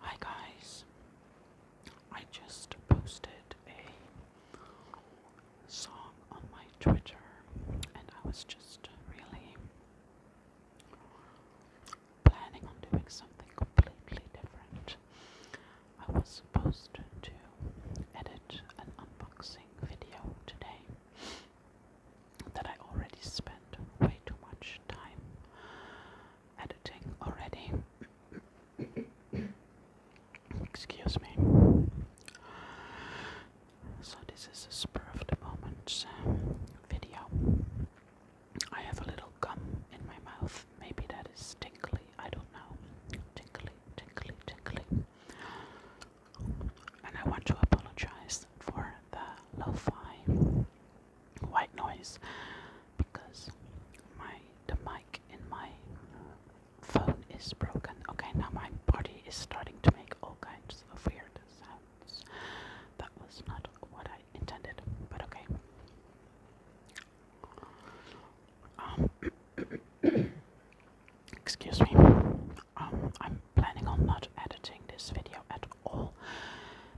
Hi guys, I just posted a song on my Twitter and I was just really planning on doing something completely different. I was supposed to edit an unboxing video today that I already spent way too much time editing already. Excuse me. So, this is a spur of the moment uh, video. I have a little gum in my mouth. Maybe that is tinkly, I don't know. Tinkly, tinkly, tinkly. And I want to apologize for the lo white noise because my the mic in my phone is broken. Okay, now my body is starting to make all kinds of weird sounds. That was not what I intended, but okay. Um, excuse me. Um, I'm planning on not editing this video at all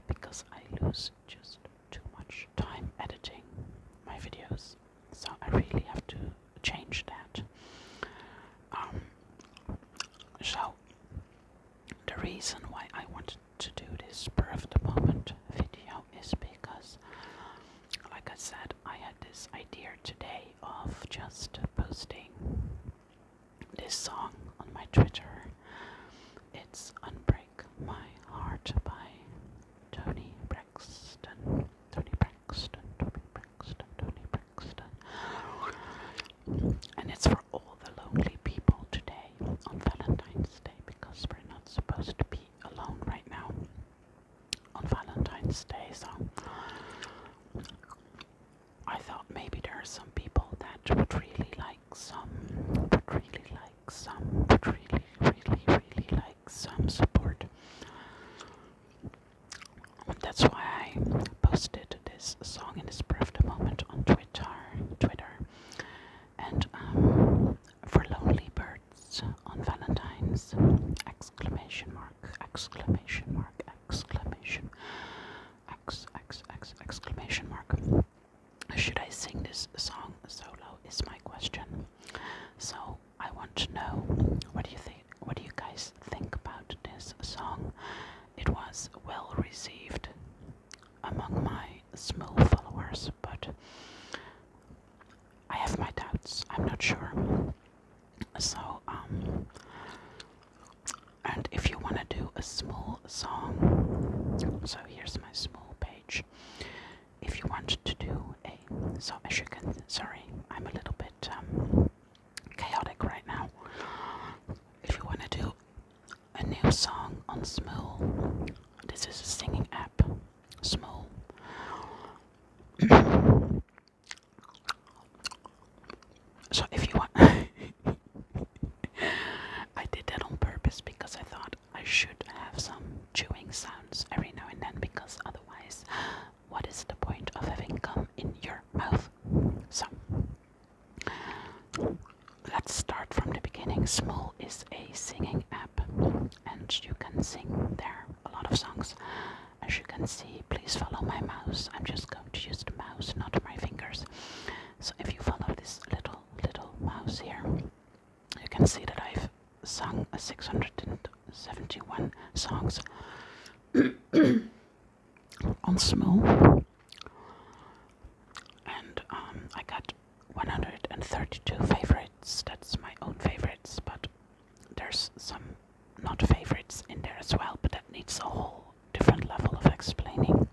because I lose just too much time editing my videos, so I really have to change that. Um, so, the reason why I wanted to do this per of the moment video is because, like I said, I had this idea today of just posting this song on my Twitter. It's Unbreak My Heart by Tony Braxton. Tony Braxton, Tony Braxton, Tony Braxton. And it's for all the lonely people today on Valentine's Day because we're not supposed to be alone right now on Valentine's Day. So I thought maybe there are some people that would really like some, would really like some, would really, really, really like some support. That's why I posted this song in this breath moment on Twitter, Twitter, and um, for lonely birds on Valentine's! Exclamation mark! Exclamation mark! exclamation ex, ex, ex, exclamation mark should i sing this song solo is my question so i want to know what do you think what do you guys think about this song it was well received among my small followers but i have my doubts i'm not sure so um and if you want to do a small song, so here's my small page. If you want to do a, so as you can, sorry, I'm a little bit um, chaotic right now. If you want to do a new song on small, this is a singing app, Small. So if you want, I did that on purpose because I thought I should have some chewing sounds every now and then because otherwise, what is the point of having gum in your mouth? So let's start from the beginning. Small is a singing app, and you can sing there a lot of songs. As you can see, please follow my mouse. I'm just going allowed use the mouse, not my fingers. So if you follow this little, little mouse here, you can see that I've sung 671 songs on Smule. And um, I got 132 favorites. That's my own favorites, but there's some not favorites in there as well, but that needs a whole different level of explaining.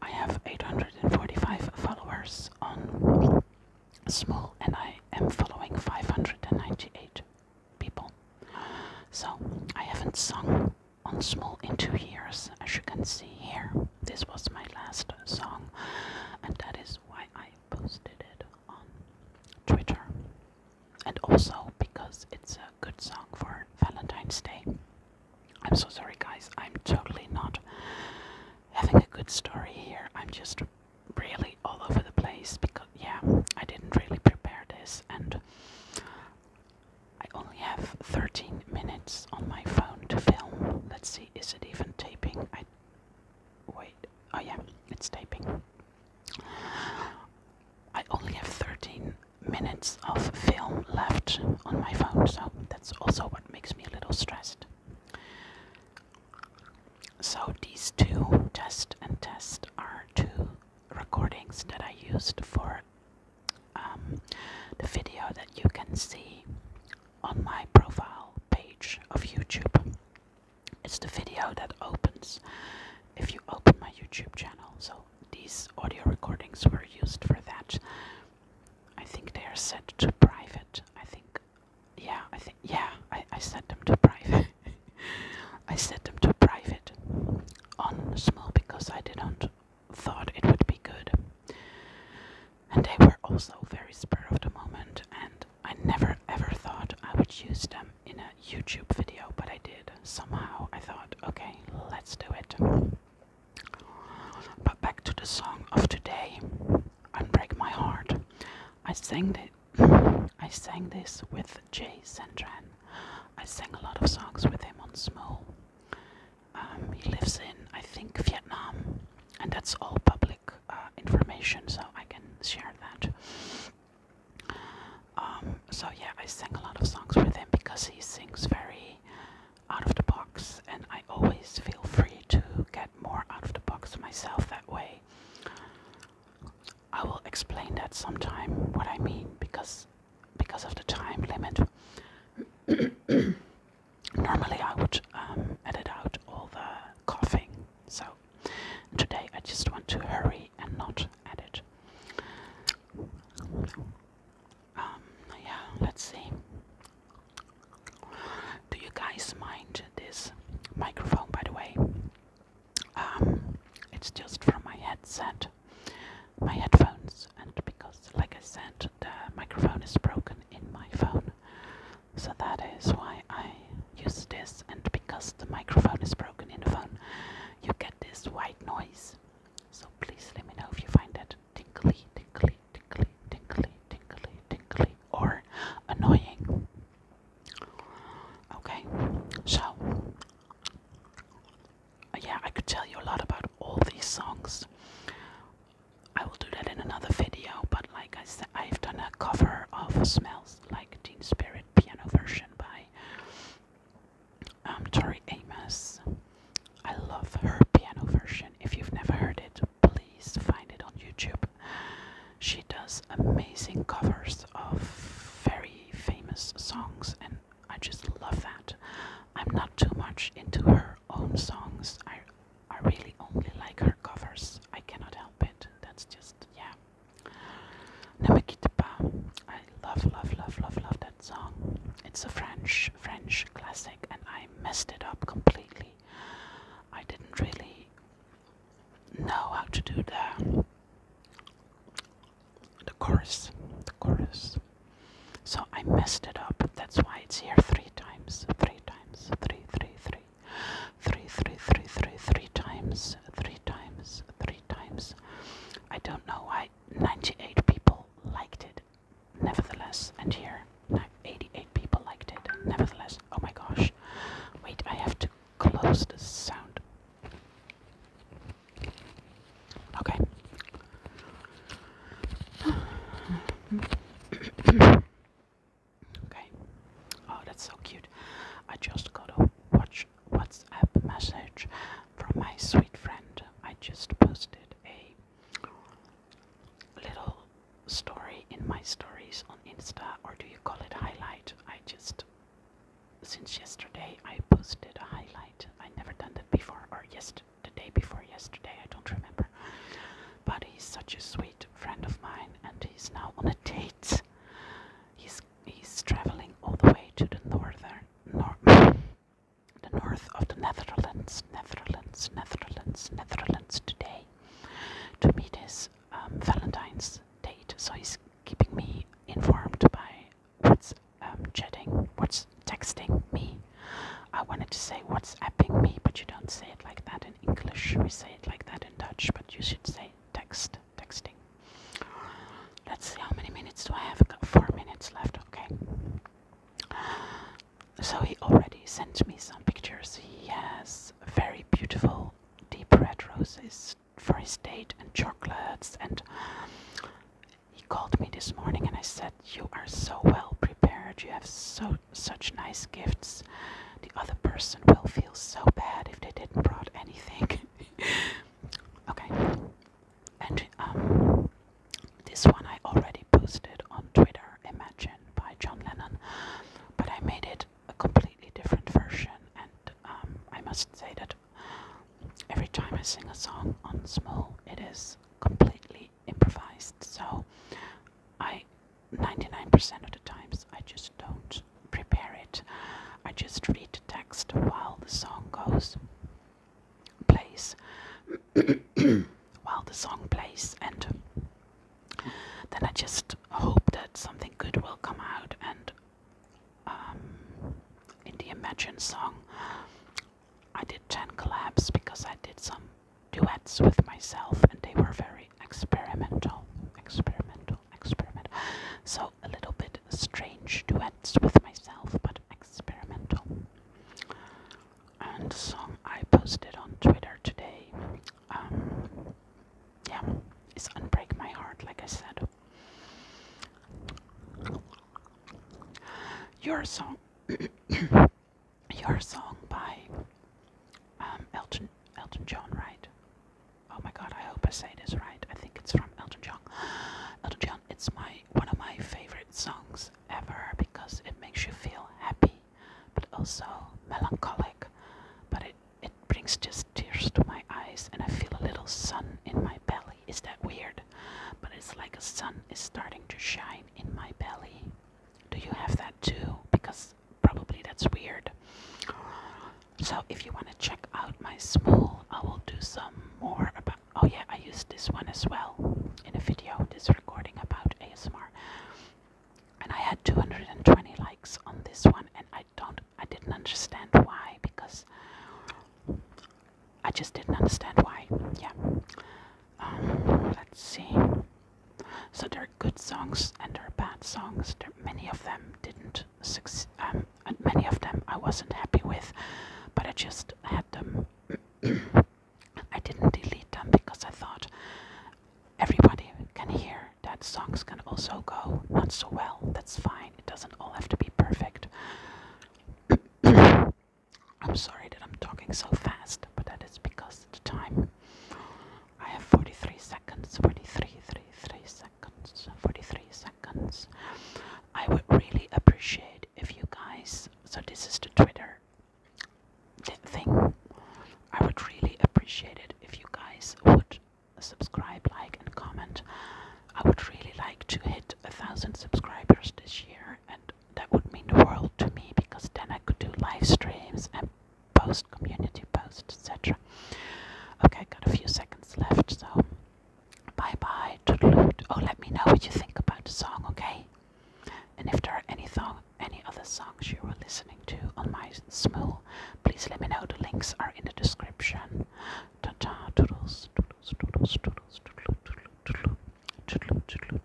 I have 845 followers on Small, and I am following 598 people. So I haven't sung on Small in two years, as you can see here. This was my last song, and that is why I posted it on Twitter and also because it's a good song for Valentine's Day. I'm so sorry, guys, I'm totally not having a good story here. I'm just really all over the place because, yeah, I didn't really prepare this, and I only have 13 minutes on my phone to film. Let's see, is it even taping? I Wait, oh yeah, it's taping. I only have 13 minutes of film left on my phone, so that's also what makes me a little stressed. So, these two, Test and Test, are two recordings that I used for um, the video that you can see on my profile page of YouTube. It's the video that opens if you open my YouTube channel. So these audio recordings were used for that. I think they are set to private. I think, yeah, I think, yeah, I, I set them to private. I set them to private on small because I didn't thought it would be good. And they were also very spur of the moment, and I never ever thought I would use them in a YouTube video, but I did. Somehow I thought, okay, let's do it. But back to the song of today, Unbreak My Heart. I sang it. I sang this with Jay Sandran. I sang a lot of songs with him on Smule. Um, he lives in, I think, Vietnam, and that's all public uh, information, so I can share that. Um, so yeah, I sing a lot of songs with him because he sings very out of the box, and I always feel free to get more out of the box myself that way. I will explain that sometime what I mean because because of the time limit. Normally, I would um, edit out all the coughing, so Today I just want to hurry and not edit. Um, yeah, let's see. Do you guys mind this microphone, by the way? Um, it's just from my headset, my headphones, and because, like I said, the microphone is broken in my phone, so that is why I use this and because the microphone is broken in the phone you get this white noise so please let me know if you find that tinkly tinkly tinkly tinkly tinkly tinkly or annoying okay so yeah I could tell you a lot about all these songs I will do that in another video but like I said I've done a cover of smells like Teen Spirit piano version by um, Tori Amos. I love her piano version. If you've never heard it, please find it on YouTube. She does amazing covers of very famous songs, and I just love that. I'm not too much into her own songs. I I really only like her covers. I cannot help it. That's just yeah. Ne me quitte I love, love, love, love, love that song. It's a French, French classic, and I messed it up completely. I didn't really know how to do the the chorus, the chorus. So I messed it up. That's why it's here three times, three times, three, three, three three, three, three, three, three times, three times, three times. I don't know why 98 people liked it, nevertheless, and here 88 people liked it, nevertheless. Oh my gosh, wait, I have to close the sound. Okay. Okay. Oh, that's so cute. I just got a watch WhatsApp message from my sweet friend. I just posted a little story in my stories on Insta, or do you call it highlight? I just since yesterday I posted a highlight. I never done that before, or yesterday the day before yesterday. I don't remember. But he's such a sweet friend of mine, and he's now on a date. He's he's traveling all the way to the northern nor the north of the Netherlands, Netherlands, Netherlands, Netherlands today to meet his um, Valentine's date. So he's keeping me informed by what's um, chatting, what's texting me. I wanted to say what's apping me, but you don't say it like that English we say it like that in Dutch, but you should say text, texting. Let's see how many minutes do I have? I've Got four minutes left, okay. So he already sent me some pictures. He has very beautiful deep red roses for his date and chocolates and he called me this morning and I said you are so well prepared. You have so such nice gifts. The other person will feel so bad if they didn't brought anything. okay. And um, this one I already posted on Twitter, Imagine by John Lennon. But I made it a completely different version and um, I must say that every time I sing a song on Small it is completely improvised. So I 99% of the times I just don't prepare it. I just read the text while the song goes, plays, while the song plays, and then I just hope that something good will come out. And um, in the Imagine song, I did 10 collabs because I did some duets with myself, and they were very experimental, experimental, experimental. So a little bit strange duets with myself, but experimental. And song I posted on Twitter today, um, yeah, is "Unbreak My Heart," like I said. Your song your song by um, Elton Elton John, right? Oh my God, I hope I say it is right. I think it's from Elton John. Elton John, it's my one of my favorite songs ever because it makes you feel happy, but also melancholic. But it it brings just tears to my eyes, and I feel a little sun in my belly. Is that weird? But it's like a sun is starting to shine in my belly. Do you have that too? Because probably that's weird. So if you want to check out my small, I will do some more about. Oh yeah, I used this one as well in a video. This recording about ASMR, and I had 220 likes on this one, and I don't, I didn't understand why because I just didn't understand why. Yeah. Um, let's see. So there are good songs and there are bad songs. many of them didn't succeed, um, and many of them I wasn't happy with, but I just had them. I didn't delete them because I thought everybody can hear that songs can also go not so well. That's fine. It doesn't all have to be perfect. I'm sorry that I'm talking so fast, but that is because of the time. I have 43 seconds, 43, 3, seconds, 43 seconds. I would really appreciate if you guys, so this is the Twitter thing, I would really appreciate it if you guys would subscribe, like, and comment. I would really like to hit a thousand subscribers this year, and that would mean the world to me because then I could do live streams and post community posts, etc. Okay, got a few seconds left, so bye bye. Oh, let me know what you think about the song, okay? And if there are any song, any other songs you were listening to on my Smool, please let me know. The links are in the description. Ta ta, toodles, toodles, toodles, toodles, toodles, toodles, toodles, toodles, toodles, toodles,